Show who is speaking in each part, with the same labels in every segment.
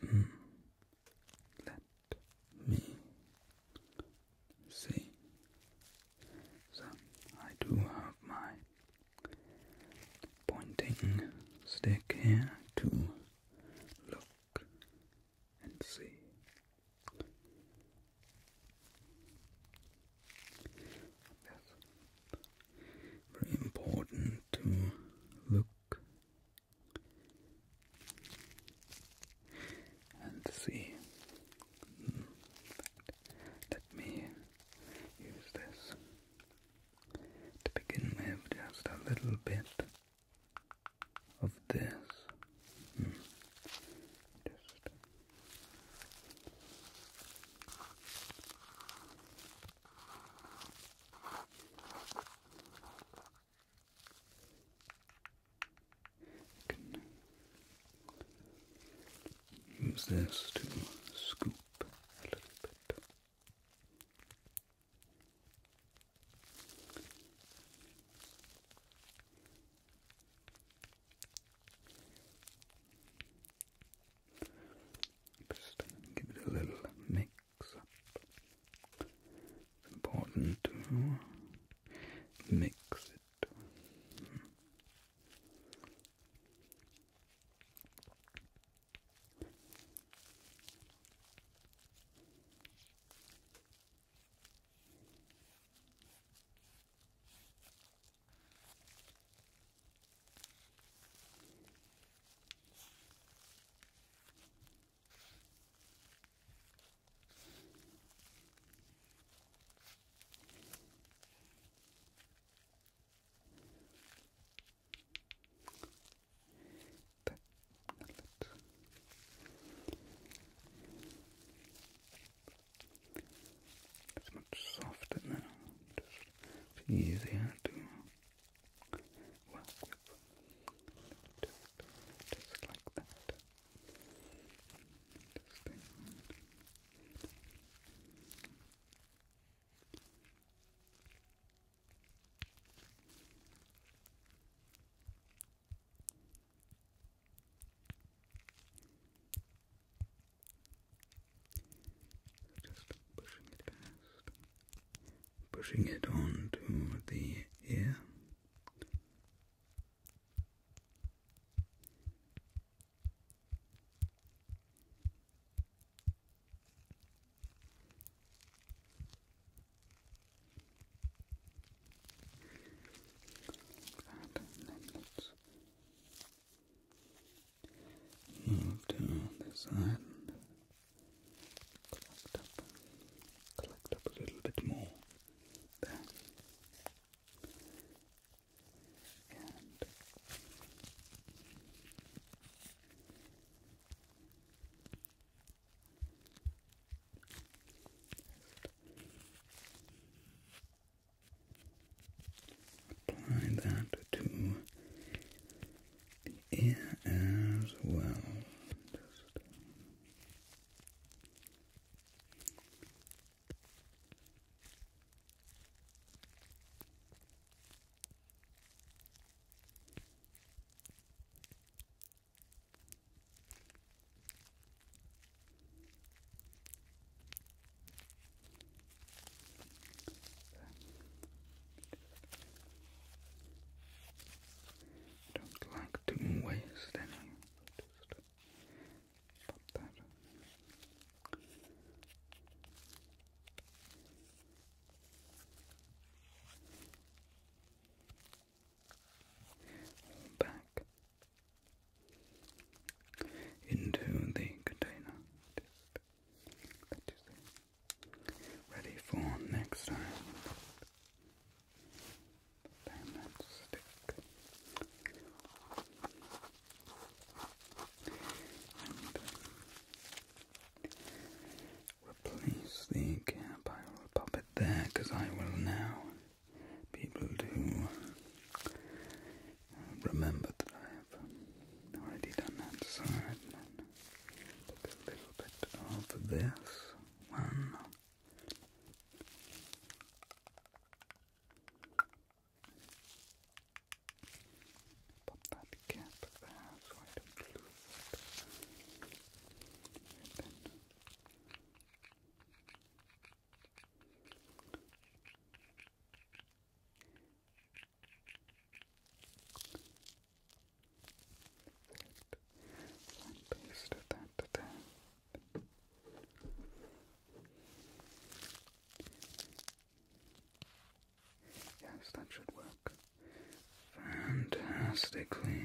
Speaker 1: Let me see. So I do have my pointing stick here to look and see. That's very important to look and see. Hmm. Let me use this to begin with just a little bit of this. Hmm. just can use this to scoop a little bit. Just give it a little mix. It's important to mix it. Mm. It's much softer now, just easier to well, just like that. Just like that. Just pushing it on to the ear. and then let's Move down this side collect up, collect up a little bit more. And Apply that to yeah, as well. I don't like to waste any. Just that. Back into the container ready for next time. stick. And replace the cap. I will it there because I will now be able to uh, remember that I have um, already done that side. And a little bit of this one. Pop that cap there so it. And and Yes, that should work fantastically.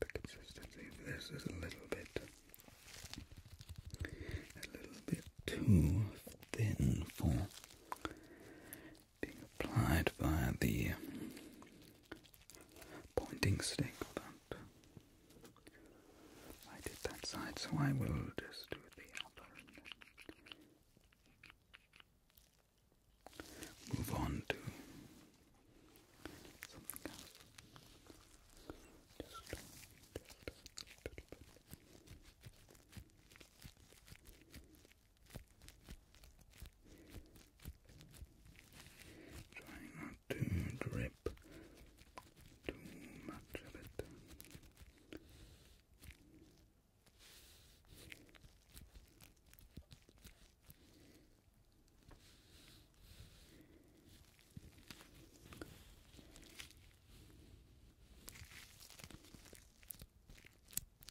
Speaker 1: The consistency of this is a little bit, a little bit too thin for being applied via the pointing stick, but I did that side, so I will just do the other. Move on to Trying not to drip too much of it.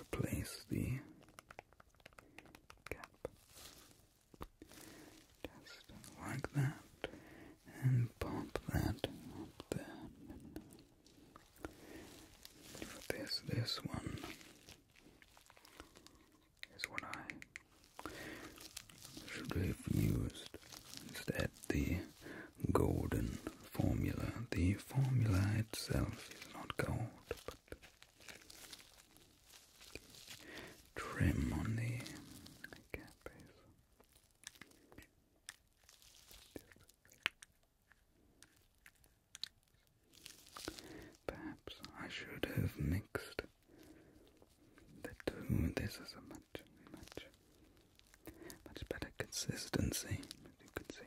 Speaker 1: replace the cap just like that and pop that up there this this one is what I should have used instead the golden formula the formula itself is not gold trim on the cap Perhaps I should have mixed the two. This is a much, much, much better consistency, you can see.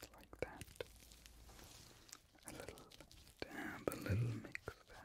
Speaker 1: Just like that. A little dab, a little mix that.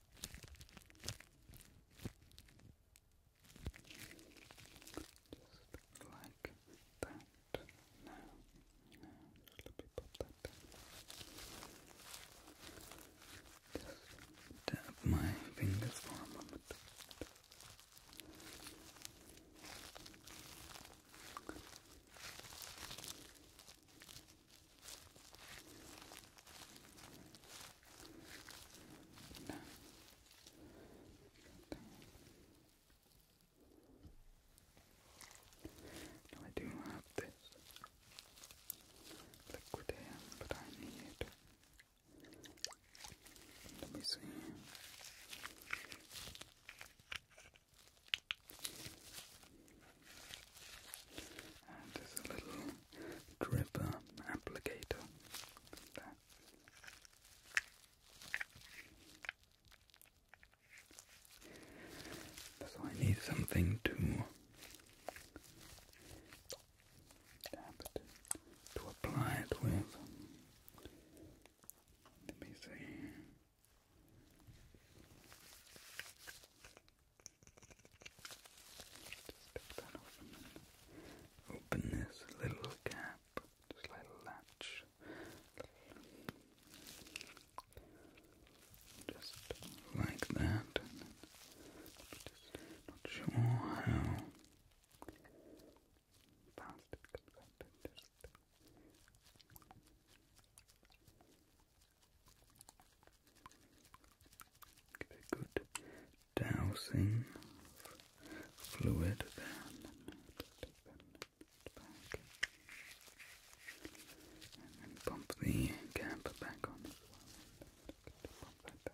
Speaker 1: Just like that. Now, now, just let me pop Just tap my fingers for a moment. Now I do have this liquid but I need. Let me see. And there's a little gripper uh, applicator So I need something to dab it, to apply it with. Let me see open this little cap, just like a latch. Just like that. not sure how fast it comes out. Give it a good dousing fluid there. And then bump the cap back on as well. down.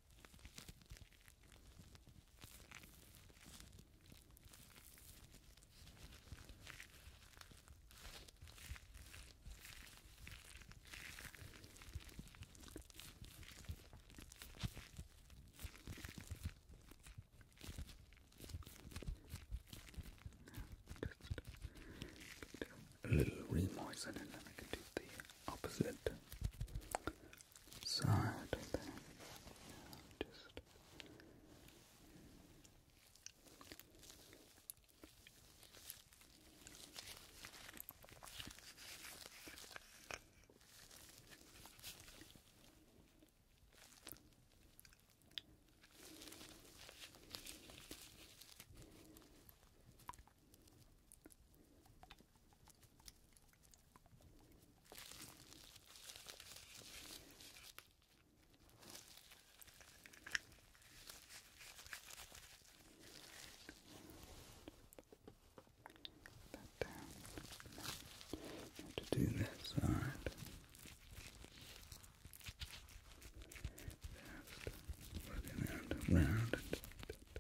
Speaker 1: Just a little remoisin and then I can do the opposite side of Just Put that to do that side. Just running round and round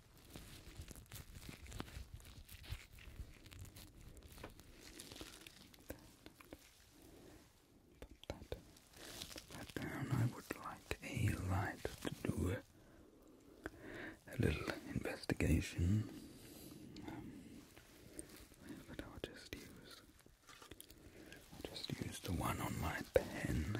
Speaker 1: Put I would like a light to do a little investigation. Um, but I'll just use, I'll just use the one on my pen.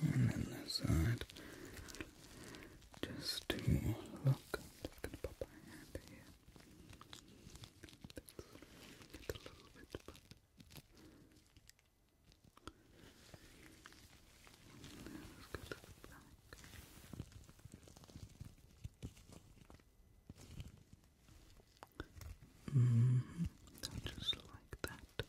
Speaker 1: And then this side. Just to look. I'm gonna pop my hand here. It's a little bit, but let Mm-hmm. Just like that.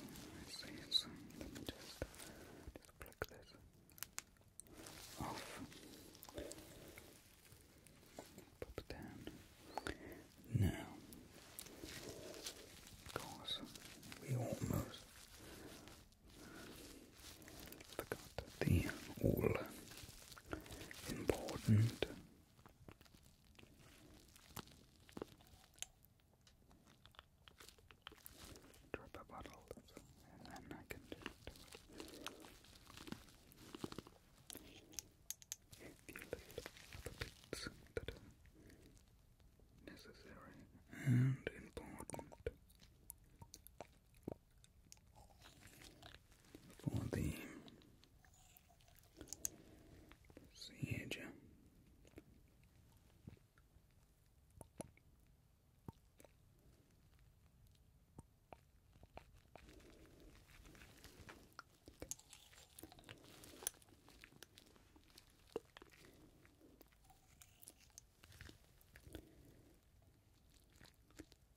Speaker 1: I see, so just, just click this off. Pop it down. Now, of we almost forgot the all important drop a bottle and then I can do it. If you other bits that are necessary and important for the siege.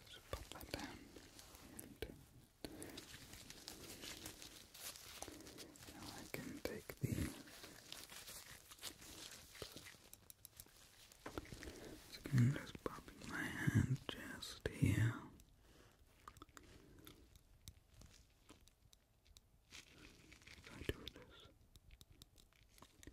Speaker 1: Just pop that down. now I can take the just popping my hand just here. I do this. I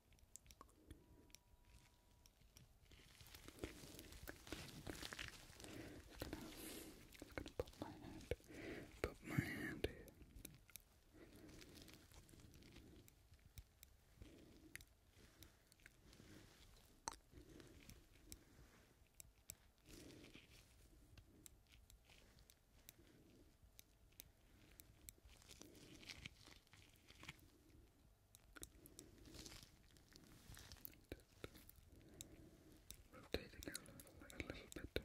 Speaker 1: Just gonna, just gonna put my hand, put my hand here. Just rotating a little, bit.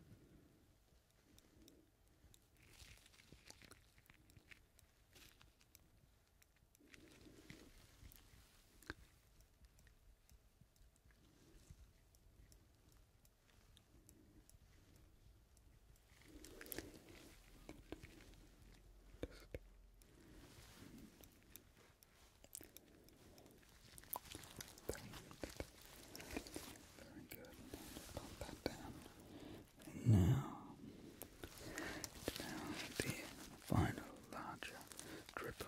Speaker 1: Very good. Pop that down. now, now the final larger triple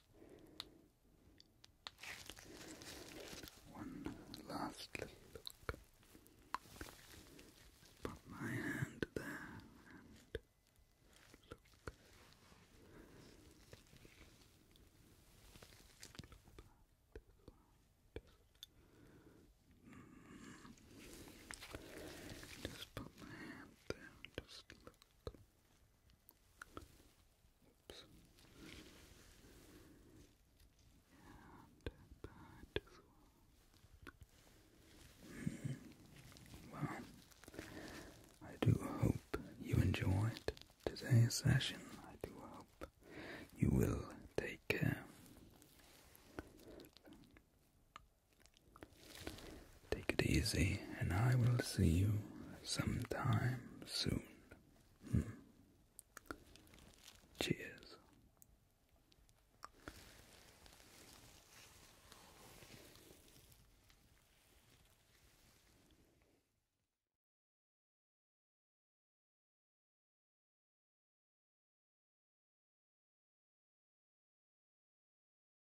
Speaker 1: One last little look. Put my hand there and look. Mm. Just put my hand there just Look. Well, I do hope you enjoyed today's session. I do hope you will take care. Take it easy, and I will see you sometime soon. Hmm. Cheers.